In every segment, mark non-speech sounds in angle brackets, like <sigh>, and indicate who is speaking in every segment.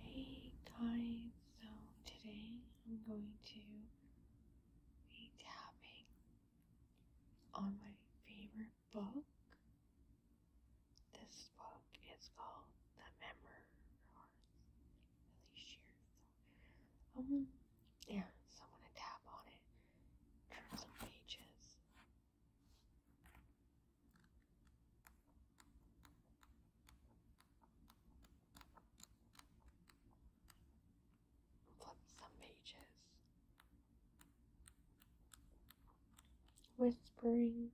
Speaker 1: Hey guys, so today I'm going to be tapping on my favorite book. This book is called The Memoirs. Really sure. um, yeah. So I'm gonna tap on it, turn some pages. Flip some pages whispering.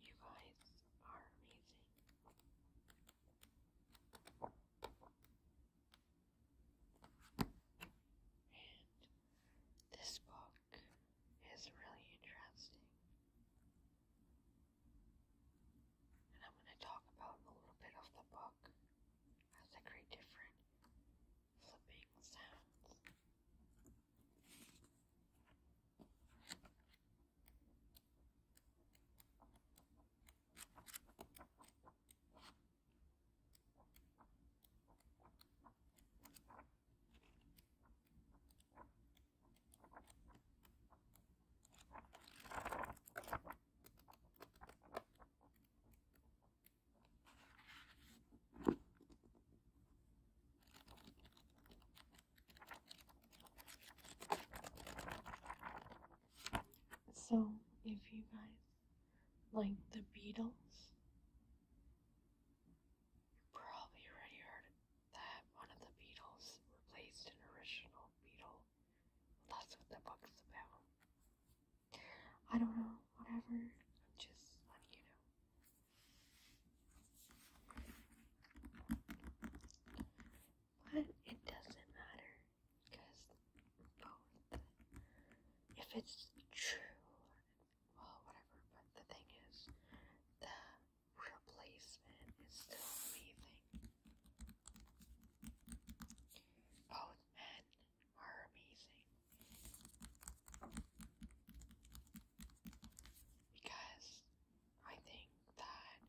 Speaker 1: You guys are amazing. this book is really interesting. And I'm going to talk about a little bit of the book as I create different flipping sounds. So, if you guys like the Beatles, you probably already heard that one of the Beatles replaced an original Beatle. That's what the book's about. I don't know, whatever. I'm just letting you know. But it doesn't matter because both, if it's true, well, whatever, but the thing is, the replacement is still amazing. Both men are amazing because I think that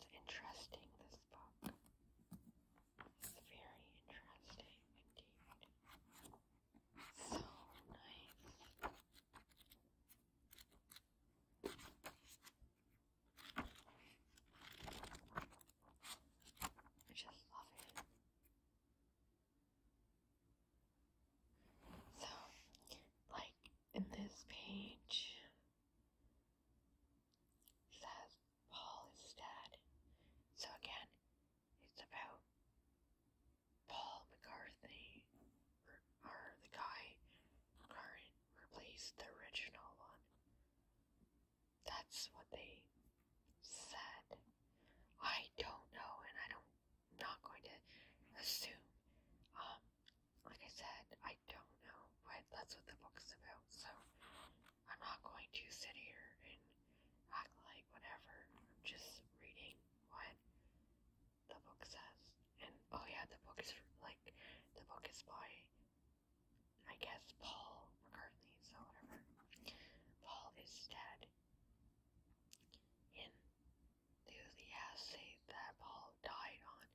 Speaker 1: it's interesting. This book is very interesting indeed. So nice. I just love it. So, like in this page, says Paul is dead. So again, it's about Paul McCarthy, or the guy current replaced the original one. That's what they said. I don't know, and I don't, am not going to assume. Um, like I said, I don't know, but that's what the book's about, so I'm not going to sit here and act like whatever. I'm just reading what the book says. And oh yeah, the book is like the book is by I guess Paul McCartney, so whatever. Paul is dead. In the Enthusiast that Paul died on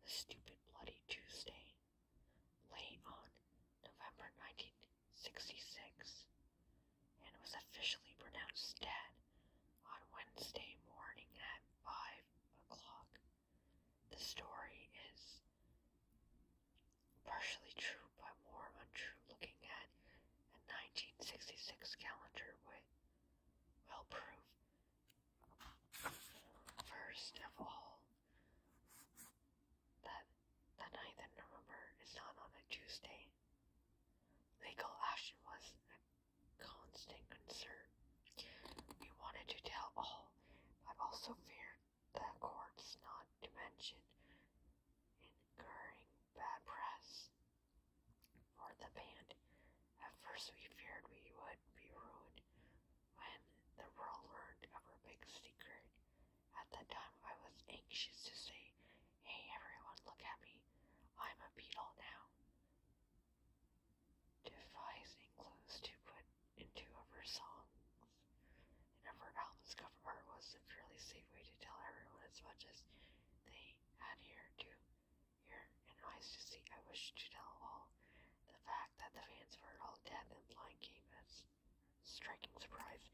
Speaker 1: a stupid bloody Tuesday, late on November 1966, and was officially pronounced dead on Wednesday morning at 5 o'clock. The story is partially true but more untrue looking at a 1966 calendar would well prove. First of all, that the 9th of November is not on a Tuesday. Legal action was a constant concern. We wanted to tell all, but also feared the courts, not to mention incurring bad press for the band. At first, we feared we would be ruined when the world learned of our big secret. At the time, I was anxious to say, Hey everyone, look at me. I'm a beetle now. Devising to put into every song songs. And for Alvin's was a fairly safe way to tell everyone as much as they had here to hear and eyes to see. I wish to tell all the fact that the fans were all dead and blind came as a striking surprise.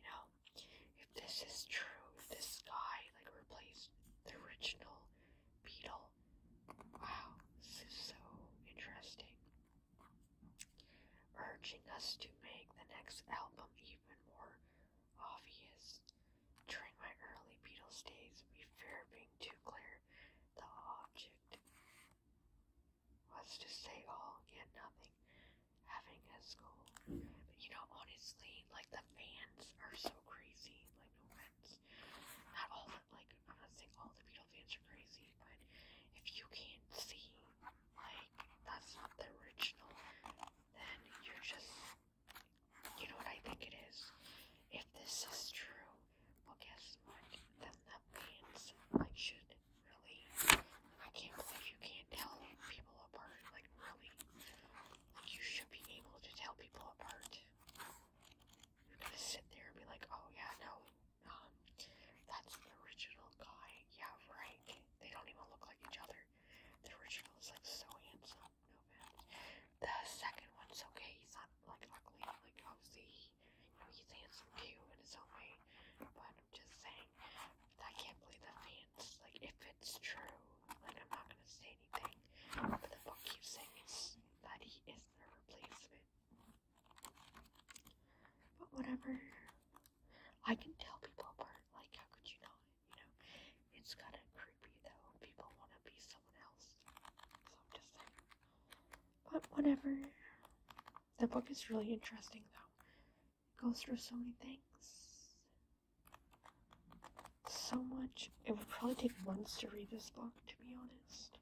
Speaker 1: You know, if this is true, if this guy like replaced the original Beetle. Wow, this is so interesting urging us to make the next album even more obvious. During my early Beatles days, we feared being too clear. The object was to say all and nothing, having us school, But you know, honestly, like the fans are so crazy. Like no offense, not all. Like I'm not saying all the Beatles fans are crazy, but if you can't see like that's not the original, then you're just you know what I think it is. If this is true, well guess what? Then that means I should really I can't believe you can't tell people apart. Like really. Like you should be able to tell people apart. You're gonna sit there and be like, oh yeah, no, no, um, that's the original guy. Yeah, right. They don't even look like each other. The original is like so handsome. The second one's okay. He's not like ugly. Like obviously, you know, he's handsome too in his own way. But I'm just saying, I can't believe the fans. Like if it's true, like I'm not gonna say anything. But the book keeps saying it's, that he is the replacement. But whatever. I can tell people apart. Like, how could you not? You know, it's kind of creepy that when People want to be someone else. So I'm just But whatever. The book is really interesting though. It goes through so many things. So much. It would probably take months to read this book, to be honest.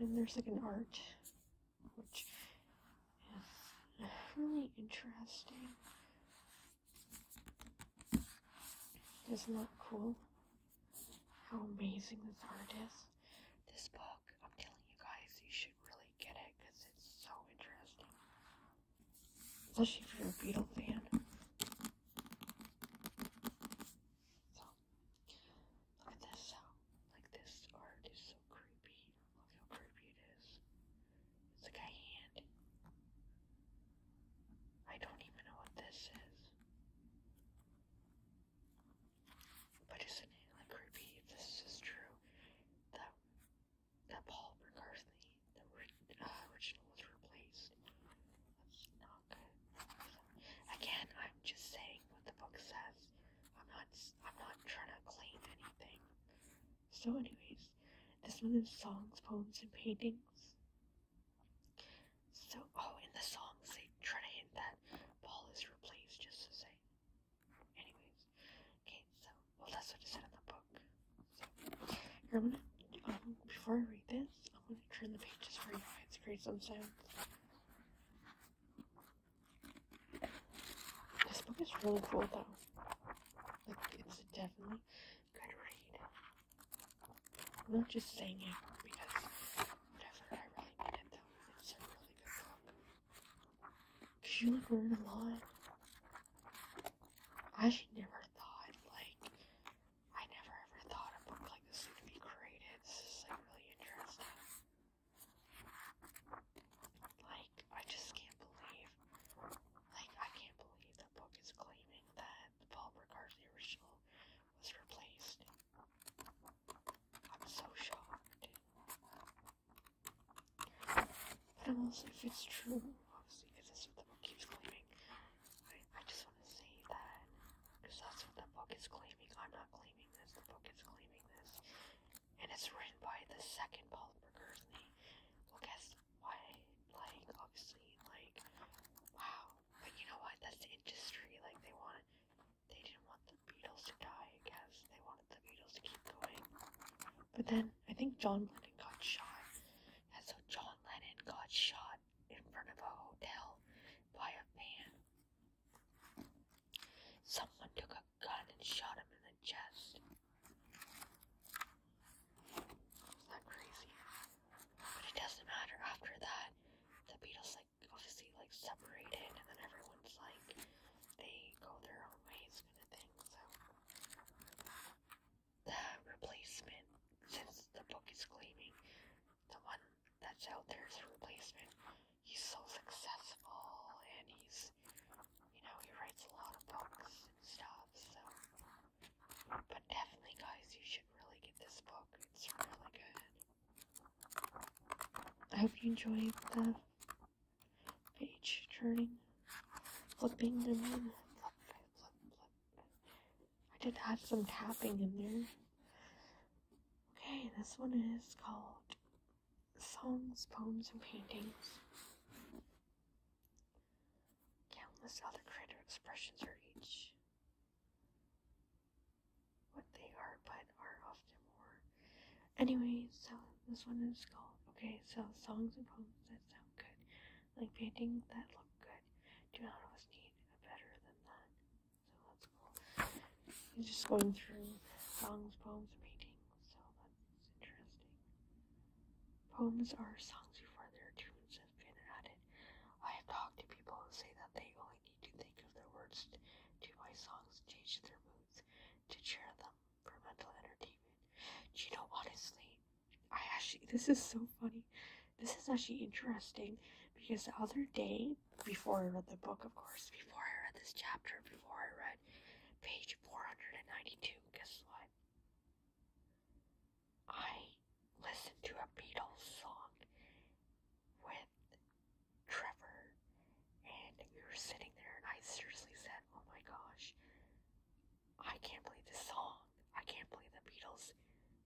Speaker 1: And there's like an art which is really interesting. does not look cool? How amazing this art is. This book, I'm telling you guys, you should really get it because it's so interesting. Especially if you're a Beetle fan. So, look at this. Like, this art is so creepy. Look how creepy it is. It's like a hand. I don't even know what this is. But isn't it like creepy this is true? That that Paul McCartney, the uh, original was replaced. That's not good. Again, I'm just saying what the book says. I'm not I'm not trying to claim anything. So, anyways, this one is songs, poems, and paintings. So, oh, in the songs they try to hint that Paul is replaced just to say. Anyways, okay, so well that's what said in the book. So, I'm gonna um, before I read this, I'm gonna turn the pages for you guys, create some sounds. This book is really cool though. Like it's definitely good read. I'm not just saying it because whatever, I really need it though. It's a really good book. Cause you like learn a lot. I should never thought like I never ever thought a book like this would be created. This is like really interesting. Like, I just can't believe, like, I can't believe the book is claiming that Paul Ricard, original, was replaced. I'm so shocked. But I'm also, if it's true, obviously, because that's what the book keeps claiming, I, I just want to say that, because that's what the book is claiming. I'm not claiming this, the book is claiming this and it's written by the second Paul McCartney. Well, guess why? Like, obviously, like, wow. But you know what? That's the industry. Like, they want, they didn't want the Beatles to die. guess they wanted the Beatles to keep going. But then I think John Lennon got shot, and so John Lennon got shot in front of a hotel by a van. Someone took a gun and shot him in the chest. is that crazy? But it doesn't matter. After that, the Beatles like obviously like separated, and then everyone's like they go their own ways, kind of thing. So the replacement, since the book is claiming the one that's out there is a replacement, he's so successful and he's, you know, he writes a lot of books and stuff, so. But definitely, guys, you should really get this book. It's really good. I hope you enjoyed the page turning, flipping, and then I did add some tapping in there. Okay, this one is called songs, poems, and paintings. Countless other creative expressions are each what they are, but are often more. Anyway, so this one is called okay. So songs and poems that sound good, like paintings that look good, do not always need a better than that. So that's cool. He's just going through songs, poems, and paintings. So interesting. Poems are songs before their tunes have been added. I have talked to people who say that they only need to think of their words to my songs, change their moods, to cheer them for mental entertainment. Do you know, honestly, I actually, this is so funny. This is actually interesting because the other day, before I read the book, of course, before I read this chapter, before I read page 492, guess what? I listened to a Beatles song with Trevor, and you're sitting there, I seriously said, Oh my gosh, I can't believe this song. I can't believe the Beatles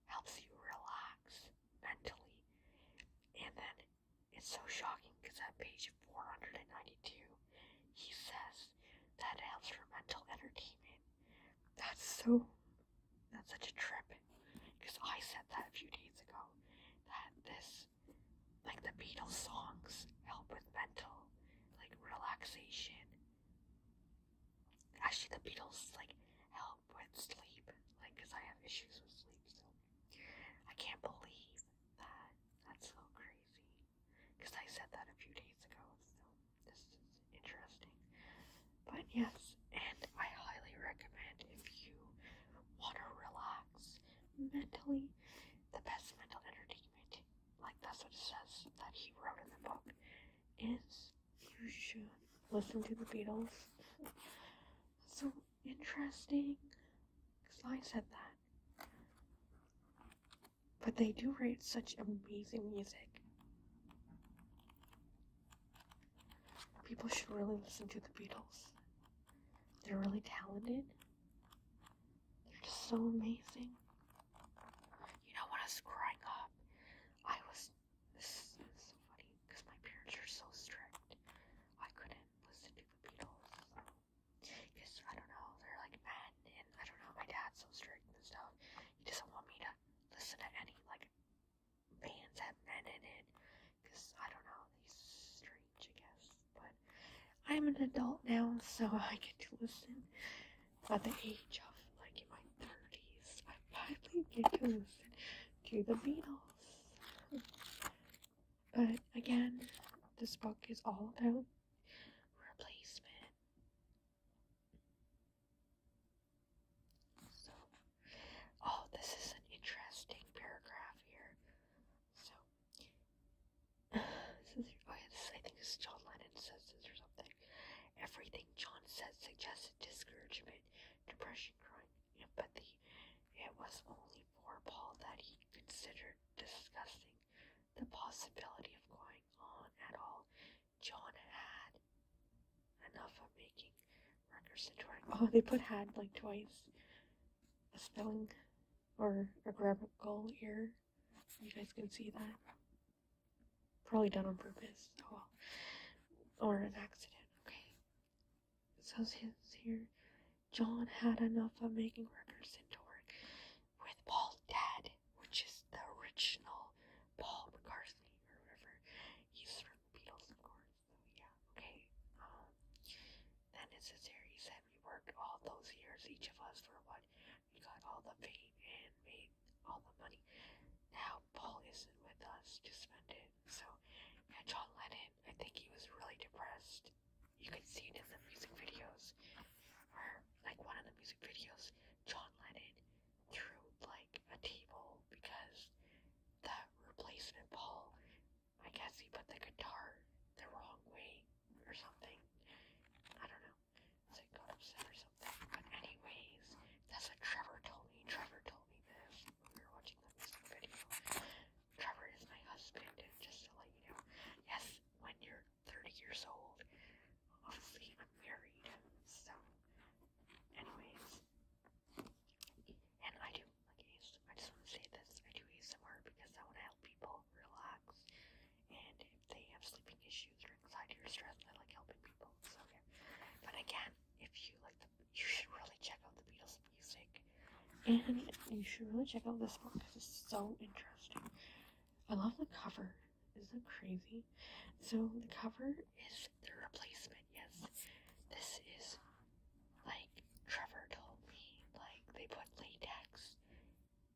Speaker 1: helps you relax mentally. And then it's so shocking because at page 492, he says that helps for mental entertainment. That's so. That's such a trip. Because I said that a few days ago. That this, like the Beatles songs, help with mental, like relaxation. Actually, the Beatles, like, help with sleep. Like, because I have issues with sleep, so. I can't believe that. That's so crazy. Because I said that a few days ago, so this is interesting. But yes, and I highly recommend if you want to relax mentally, the best mental entertainment, like that's what it says that he wrote in the book, is you should listen to the Beatles. so interesting, because I said that. But they do write such amazing music. People should really listen to the Beatles. They're really talented. They're just so amazing. You know, when I was growing up, I was. so funny because my parents were so strict. I couldn't listen to the Beatles. Because, I don't know, they're like men, and I don't know, my dad's so strict and stuff. He doesn't want me to listen to any, like, bands that men in it. Because, I don't know, he's strange, I guess. But I'm an adult now, so I get to listen. At the age of, like, in my 30s, I finally get to listen to the Beatles. But again, this book is all about replacement. So, oh, this is an interesting paragraph here. So, <sighs> this is, oh yeah, this I think this is John Lennon says this or something. Everything John said suggested discouragement, depression, crying, empathy. It was only for Paul that he considered disgusting the possibility of going on at all. John had enough of making records to her. Oh, they put had like twice. A spelling or a grammatical error. You guys can see that. Probably done on purpose. Oh well. Or an accident. Okay. It says his here John had enough of making records and touring with Paul, dad, which is the original Paul McCartney or River. He's from the Beatles, of course. So yeah, okay. Um, then it's a series that we worked all those years, each of us for what we got all the fame and made all the money. Now Paul isn't with us to spend it, so yeah, John Lennon. I think he was really depressed you can see it in the music videos, or like one of the music videos, John Lennon threw like a table because the replacement ball, I guess he put the guitar the wrong way or something. I don't know. So he got upset or something. But anyways, that's what Trevor told me. Trevor told me this when we were watching the music video. Trevor is my husband, and just to let you know, yes, when you're 30 years old. Obviously, I'm married, so, anyways. And I do, like, I just want to say this I do ASMR because I want to help people relax. And if they have sleeping issues or anxiety or stress, I like helping people. So, But again, if you like the, you should really check out the Beatles music. And you should really check out this one because it's so interesting. I love the cover. Isn't it crazy? So the cover is the replacement. Yes, this is like Trevor told me. Like they put latex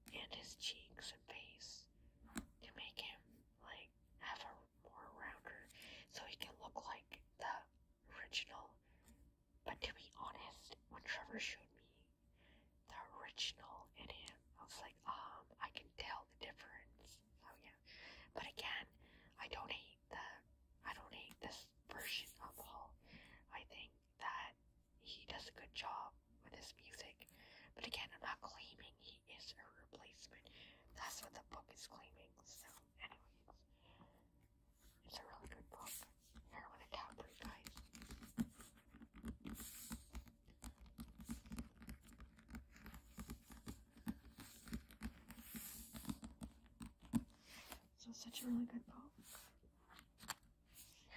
Speaker 1: in his cheeks and face to make him like have a more rounder, so he can look like the original. But to be honest, when Trevor showed me the original in him. I was like, um, I can tell the difference. So oh, yeah, but again, I don't hate the, I don't hate this version of Hall. I think that he does a good job with his music. But again, I'm not claiming he is a replacement. That's what the book is claiming. So, anyways, it's a really good book. Hair with a cap for So such a really good book.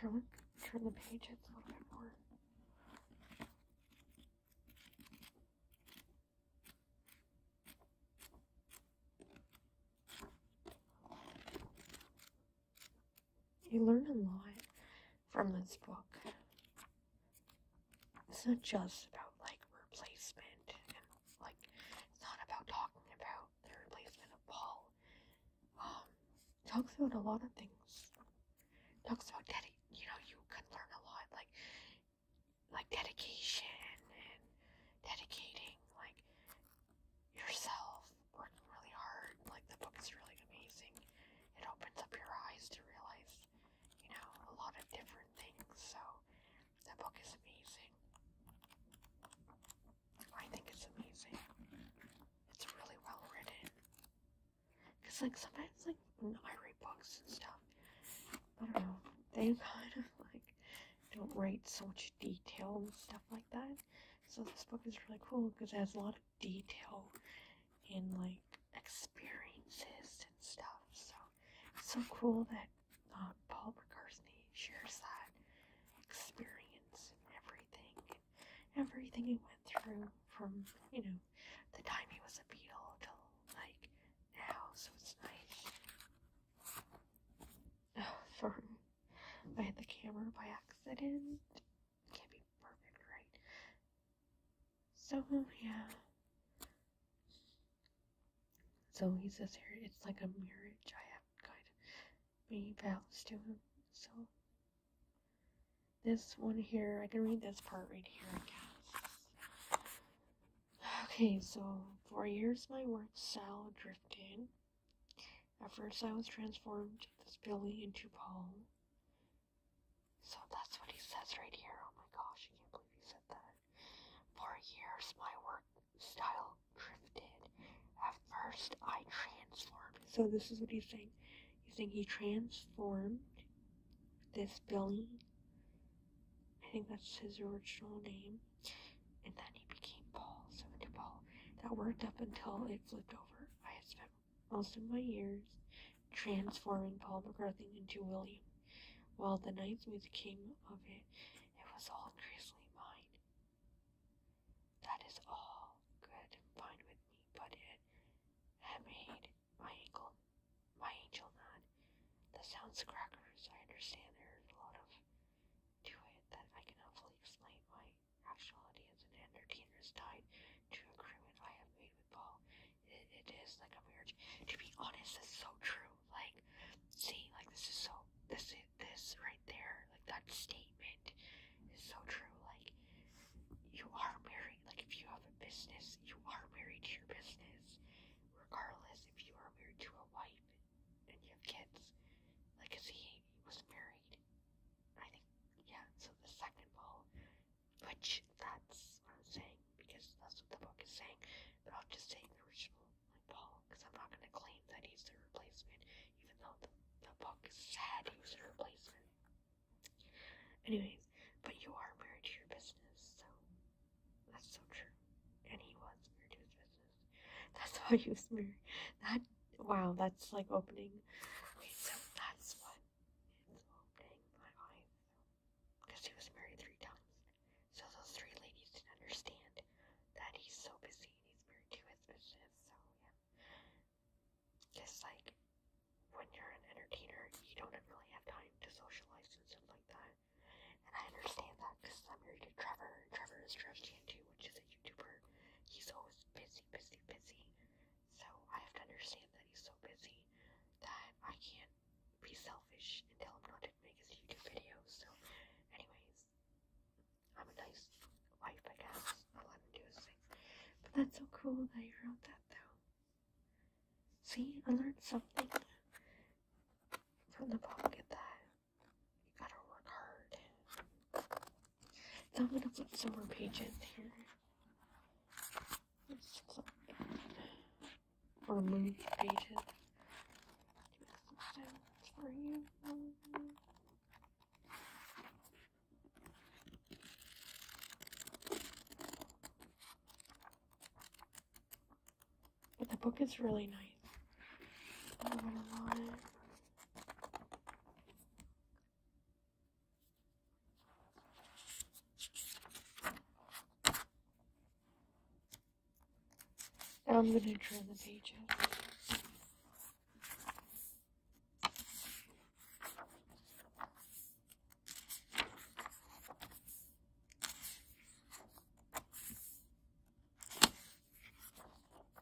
Speaker 1: Here, turn the page, it's a little bit more. You learn a lot from this book. It's not just about like replacement and like it's not about talking about the replacement of Paul. Um, talks about a lot of things. Talks about dedication. You know, you can learn a lot, like like dedication and dedicating like yourself working really hard. Like, the book is really amazing. It opens up your eyes to realize, you know, a lot of different things. So, the book is amazing. I think it's amazing. It's really well written. Because, like, sometimes, like, when I read books and stuff, I don't know, they kind of, like, don't write so much detail and stuff like that. So, this book is really cool because it has a lot of detail in like experiences and stuff. So it's so cool that uh, Paul McCartney shares that experience and everything, and everything he went through from you know the time he was a Beatle till like now. So it's nice. Oh, <sighs> sorry, I hit the camera by accident can't be perfect, right? So yeah. So he says here it's like a marriage. I have kind be many vows to him. So this one here, I can read this part right here, I guess. Okay, so for years my words shall drift in at first, I was transformed this Billy into Paul. So that's what he says right here. Oh my gosh, I can't believe he said that. For years, my work style drifted. At first, I transformed. So this is what he's saying. He's saying he transformed this Billy. I think that's his original name. And then he became Paul, so into Paul. That worked up until it flipped over. I had spent most of my years, transforming Paul McCarthy into William. While the nights music came of it, it was all grizzly mine. That is all good and fine with me, but it had made my ankle, my angel nod. the sounds crackers. I understand there is a lot of to it that I cannot fully explain why actuality as an entertainer is tied to a agreement I have made with Paul. It, it is like a marriage. To be honest, that's so true. Like, see, like this is so this this right there, like that statement is so true. Like, you are married. Like, if you have a business, you are married to your business, regardless if you are married to a wife and you have kids. Like, see, he was married I think, yeah, so the second ball, which that's what I'm saying, because that's what the book is saying, but I'll just say the original like, because I'm not going to claim that he's the replacement, even though the, the book is he was the replacement. Anyways, but you are married to your business, so that's so true. And he was married to his business. That's why he was married. That wow, that's like opening. so that's what it's opening my eyes. Because he was married three times. So those three ladies didn't understand that he's so busy and he's married to his business. So yeah. Just like when you're an entertainer, you don't really have time to socialize and stuff like that. And I understand that because I'm married to Trevor. Trevor is Trevor too, which is a YouTuber. He's always busy, busy, busy. So I have to understand that he's so busy that I can't be selfish and tell him not to his YouTube videos. So, anyways, I'm a nice wife, I guess. I'll do his thing. But that's so cool that you wrote that, though. See, I learned something from the book. Get that. You gotta work hard. So I'm gonna flip some more pages here. Let's flip or move pages. But the book is really nice. I'm gonna draw the page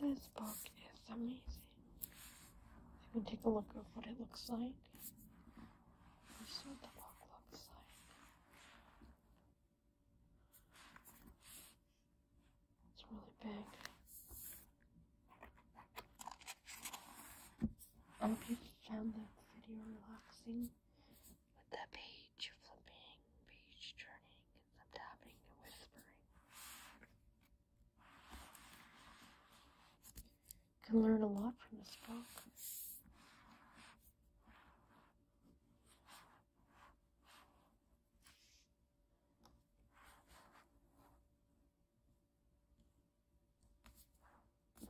Speaker 1: This book is amazing. Let me take a look at what it looks like. This is what the book looks like. It's really big. I hope you found that video relaxing with that page flipping, page turning, and some tapping and whispering. You can learn a lot from this book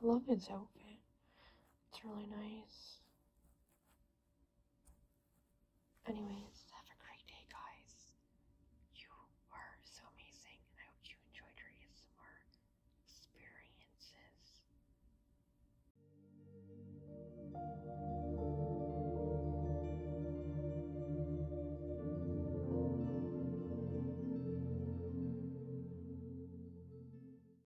Speaker 1: love his outfit. It's really nice. Anyways, have a great day, guys. You were so amazing, and I hope you enjoyed your ASMR experiences.